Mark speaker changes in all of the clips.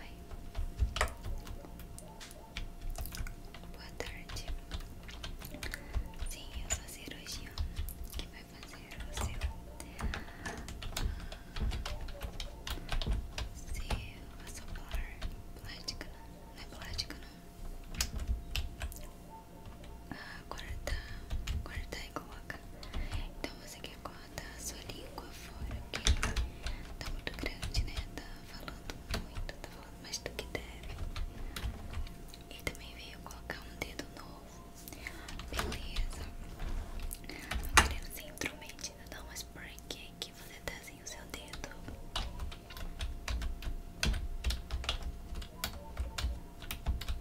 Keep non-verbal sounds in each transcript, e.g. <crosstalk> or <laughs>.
Speaker 1: Oi. Boa tarde. Sim, eu sou cirurgião que vai fazer o seu seu assolar não é plástica não guardar, guardar e coloca. Então você quer cortar a sua língua fora, porque tá muito grande, né? Tá falando muito, tá falando mais do que deve. E também veio colocar um dedo novo. Beleza. Não querendo ser intrometida, né? não, mas por que, que você tá sem o seu dedo?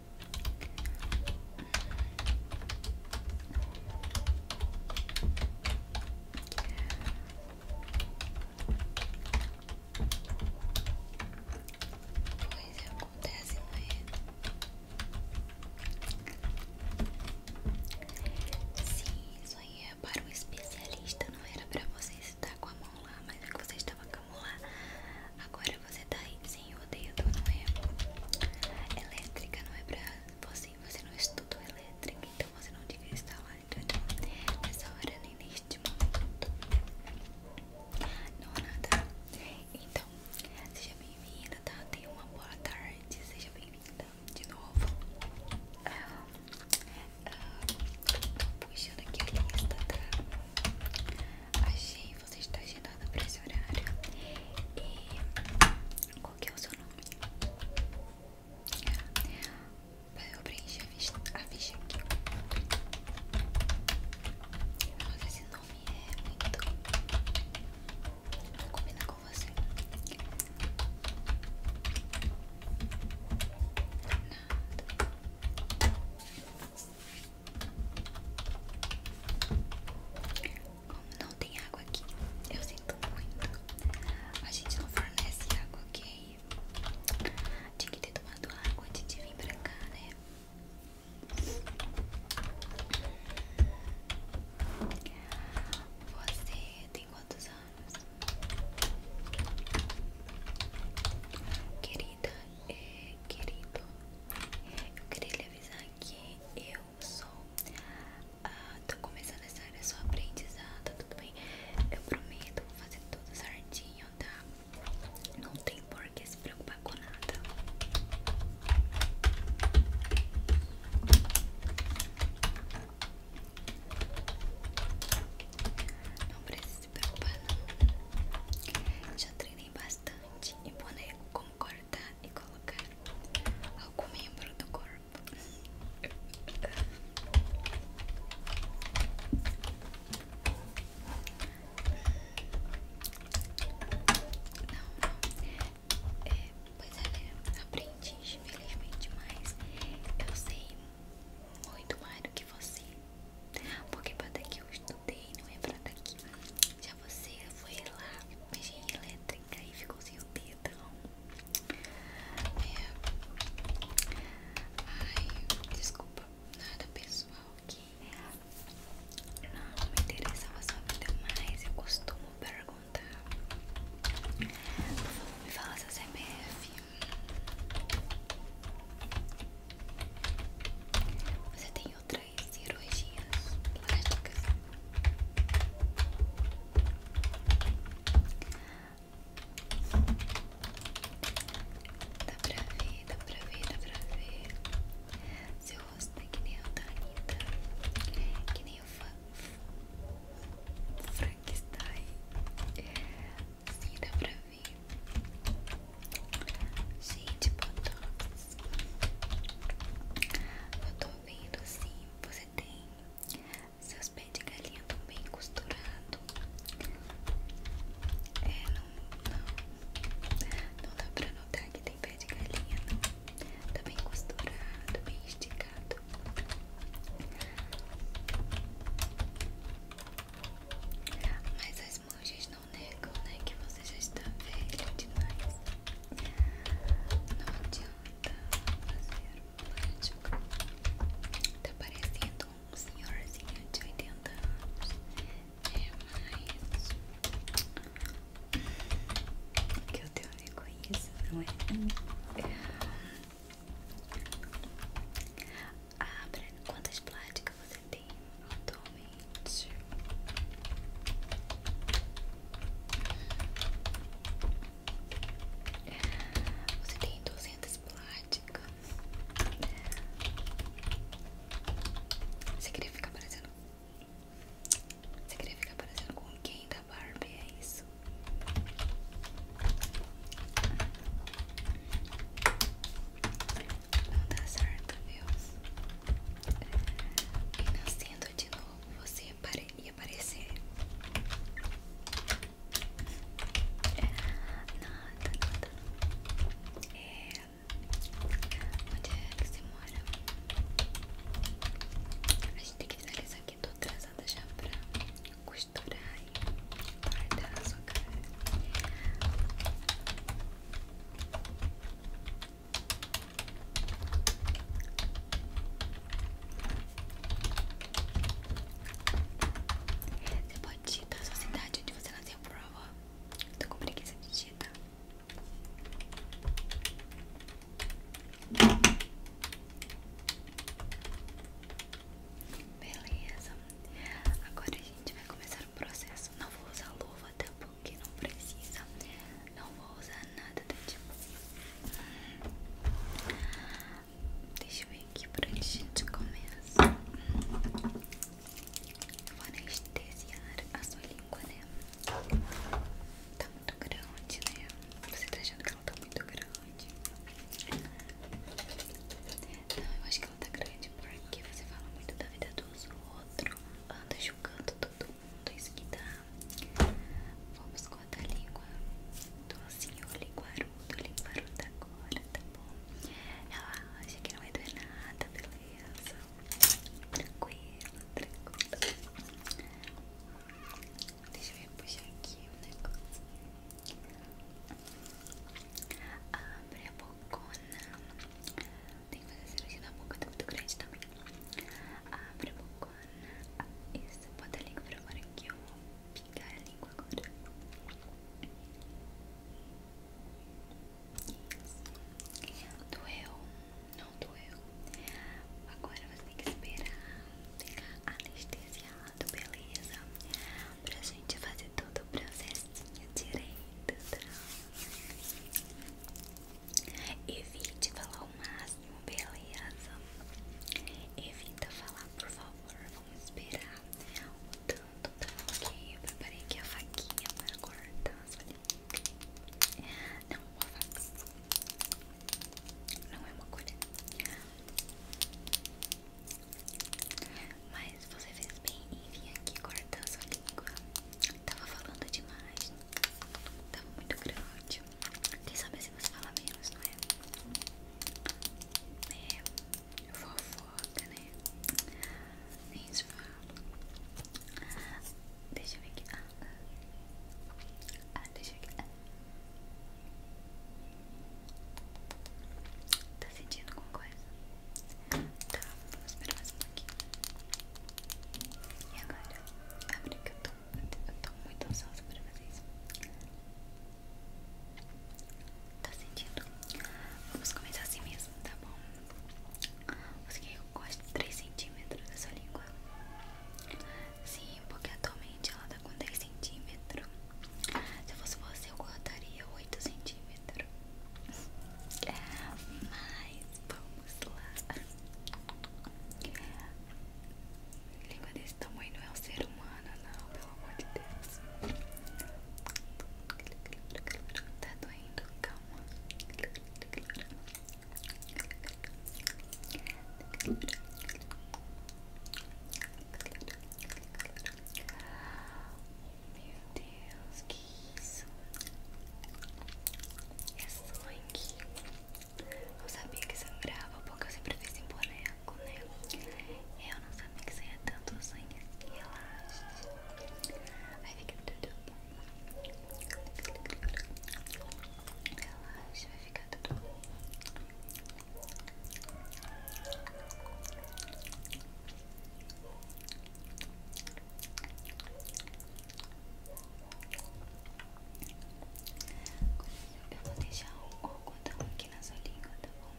Speaker 1: Pois é, acontece, mas... Sim, isso aí para um especialista, não era para você estar com a mão lá, mas é que você estava com a mão lá Agora você tá aí sem o dedo, não é? Elétrica não é pra você, você não estudou elétrica, então você não devia estar lá. Então, então, nessa hora nem neste momento. Não há nada. Então, seja bem-vinda, tá? Tenha uma boa tarde, seja bem-vinda de novo. Ah, ah, tô puxando aqui a lista, tá? Achei, você está agendada para esse horário. E qual que é o seu nome? Eu preenchi a ficha, a ficha aqui. Nossa, esse nome é muito. Não combina com você. Nada. Como não tem água aqui, eu sinto muito. A gente não fornece água, ok? Tinha que ter tomado água antes de vir pra cá, né? Você tem quantos anos? queria é, querido, eu queria lhe avisar que eu sou. Ah, tô começando essa área só aprendizado, tudo bem? Eu prometo, vou fazer tudo certinho, tá? Não tem por que se preocupar com nada. Não precisa se Já treinei bastante e ponei concordar e colocar algum membro do corpo. Não, não.
Speaker 2: É, pois é, né? aprendi infelizmente, mas eu sei muito mais do que você. Porque pra daqui eu estudei, não é pra daqui. Já você foi lá, mexe em elétrica e ficou sem o dedão. É. Ai, desculpa, nada pessoal que não me interessava sua vida mais. Eu costumo perguntar. me fala seu CPF. Você tem outras cirurgias plásticas? Dá pra ver, dá pra ver, dá pra ver. Seu rosto é que nem o da Anitta, que nem o Frankenstein. Sim, dá pra ver. Gente, botox. Eu tô vendo assim, você tem seus pés de galinha também costurado, É, não, não, não dá pra notar que tem pé de galinha, não. Tá bem costurado, bem esticado. Mas as monjas não negam, né? Que você já está velho demais. Não adianta fazer mágica. Tá parecendo um senhorzinho de 80 anos. É, mas. Que eu tenho reconheço, não é? Abra quantas plásticas você tem atualmente. Você tem 200 plásticas.
Speaker 3: Você queria ficar parecendo? Você queria ficar parecendo com quem da Barbie é isso? Não dá certo, viu? E nascendo de novo, você ia aparecer. Nada, nada. É... Onde é que você mora? A gente tem que isso aqui que tô atrasada já pra costurar e guardar a sua cara. Você pode digitar a sua cidade onde você nasceu, prova. Tô com preguiça de digitar. Beleza, agora a gente vai começar o processo. Não vou usar luva, até porque não precisa. Não vou usar nada do tipo. Deixa eu ver aqui pra onde a gente começa. Eu vou anestesiar a sua língua, né? Tá muito grande, né? Você tá achando que ela tá muito grande? Não, eu acho que ela tá grande porque você fala muito da vida dos outros, anda julgando todo mundo, isso que dá. Vamos cortar a língua. Tô assim, eu linguarudo, linguarudo agora, tá bom? Ela acha que não vai é doer nada, beleza? Tranquilo, tranquilo. Deixa eu repuxar aqui o negócio.
Speaker 4: Abre a bocona. Tem que fazer cirurgia na boca, tá muito grande também. Abre a bocona. Isso, bota a língua pra fora que eu vou pingar a língua agora. Isso. Doeu? Agora você tem que esperar ficar anestesiado, beleza? Pra gente fazer todo o processo direito, tá? Evite falar o máximo, beleza? Evita falar, por favor. Vamos esperar o tanto, tá? Ok, eu preparei aqui a faquinha para cortar sua não, uma faca. Não é uma coisa Mas você fez bem em vir aqui cortando sua língua. Tava falando demais. Tava muito grande. Quem sabe se você fala menos, não é? É. Fofoca, né? Isso Deixa eu ver aqui. Ah, ah, deixa eu ver aqui. Ah. Tá sentindo alguma coisa? Tá, vou esperar mais um pouquinho. E agora? Abre que eu tô, muito ansiosa pra fazer Tá sentindo? Vamos começar assim mesmo, tá bom? Você quer que eu gosto de 3 centímetros dessa língua? Sim, porque atualmente ela tá com 10 centímetros. Se fosse você, eu cortaria 8 centímetros. É, mas vamos lá. Língua desse tamanho não é um ser humano, não, pelo amor de Deus. Tá doendo, calma. Meu Deus, que isso? É sangue. Eu sabia que sangrava porque eu sempre fiz em boneco, né? Eu não sabia que saía tanto sangue. Relaxa. Vai ficar tudo bem. Relaxa, vai ficar tudo bem. Eu vou deixar o algodão aqui na sua língua, tá bom?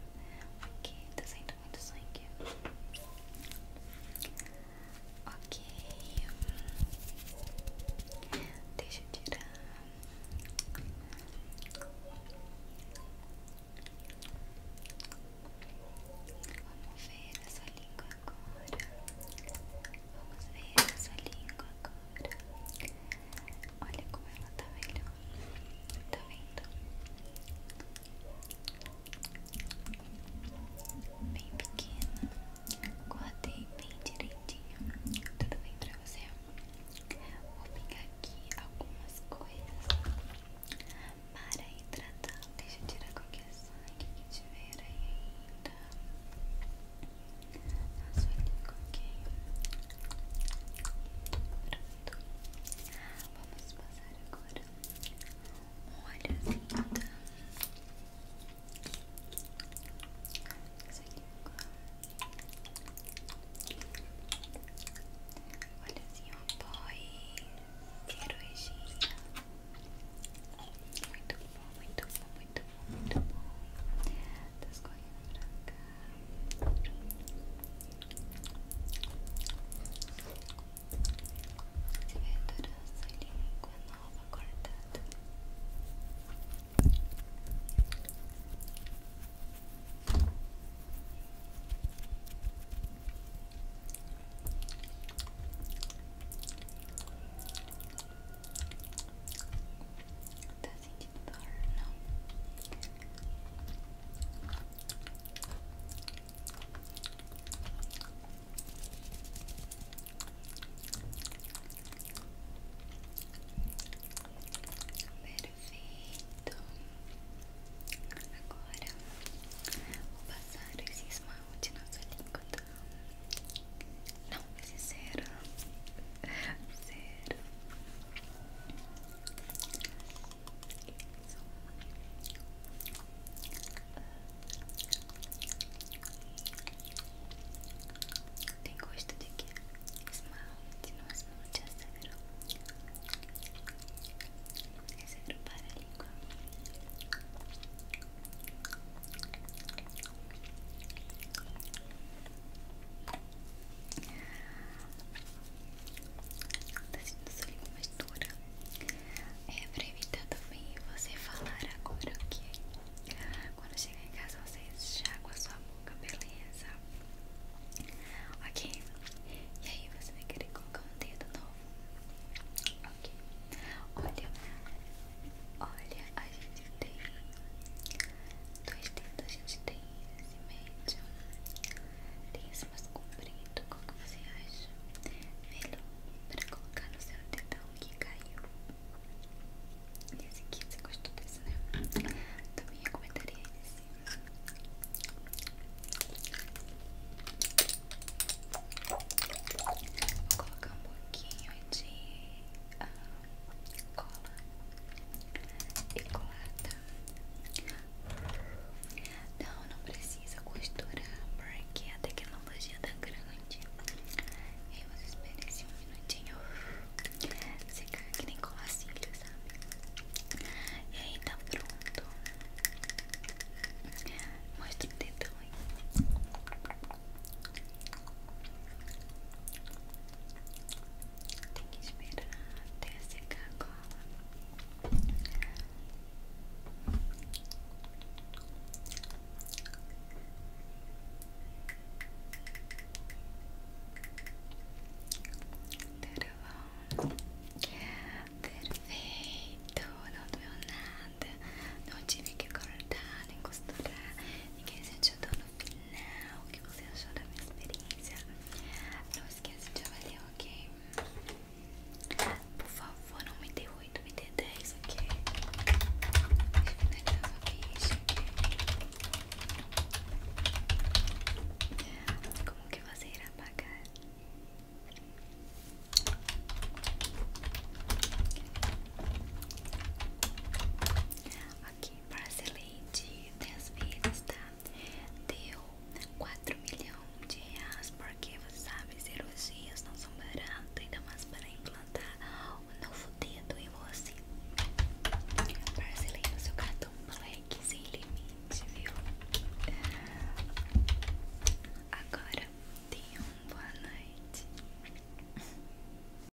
Speaker 4: Aqui tá saindo muito sangue. Ok. Deixa eu tirar. Vamos ver essa língua agora. Vamos ver essa língua agora. Olha como ela tá melhor. Tá vendo? bem pequena. Cortei bem direitinho. Tudo bem pra você? Vou pegar aqui algumas coisas para hidratar. Tá? Deixa eu tirar qualquer sangue que tiver aí ainda. Na sua língua, Pronto. Vamos passar agora Olha, linda. Olha assim, ó, boy. Quero regista.
Speaker 1: Muito bom, muito bom, muito bom, muito bom. Tá escorrendo pra de verdurosa língua nova cortada. Tá sentindo dor? Não. Perfeito. Agora vou passar esse esmalte na sua língua. Tá? Não, esse cero. Zero. <laughs> Tem gosto de que? Esmalte, não esmalte, é esse É zero para a língua. Tá sentindo sua língua mais dura? É pra evitar também você falar agora, ok? Quando chegar em casa você enxaga a sua boca, beleza? Ok? E aí você vai querer colocar um dedo novo? Ok? Olha, olha, a gente tem dois dedos, a gente tem esse médio, comprido, qual que você acha? Melhor para colocar no seu dedão que caiu. E esse aqui, você gostou desse, né? Também recomendaria esse. Vou colocar um pouquinho de ah, cola e colada. Não, não precisa costurar porque a tecnologia tá grande. E aí você espera esse um minutinho secar que nem colar sabe? E aí tá pronto. Mostra o dedão aí. Tem que esperar até secar a cola. Tudo bom? Perfeito, não doeu nada. Não tive que cortar nem costurar. Ninguém sentiu dor não o que você achou da minha experiência. Não esqueça de avaliar, ok? Por favor, não me dê 8, me dê 10, ok? Deixa eu finalizar sua ficha, ok? Como que você irá pagar? Aqui, brasileiro de das vezes, tá? Deu 4 milhões de reais, porque você sabe, cirurgias não são baratas, ainda mais para implantar o novo dedo em você. Parcelei no seu cartão Black sem limite, viu? Agora, tenha uma boa noite.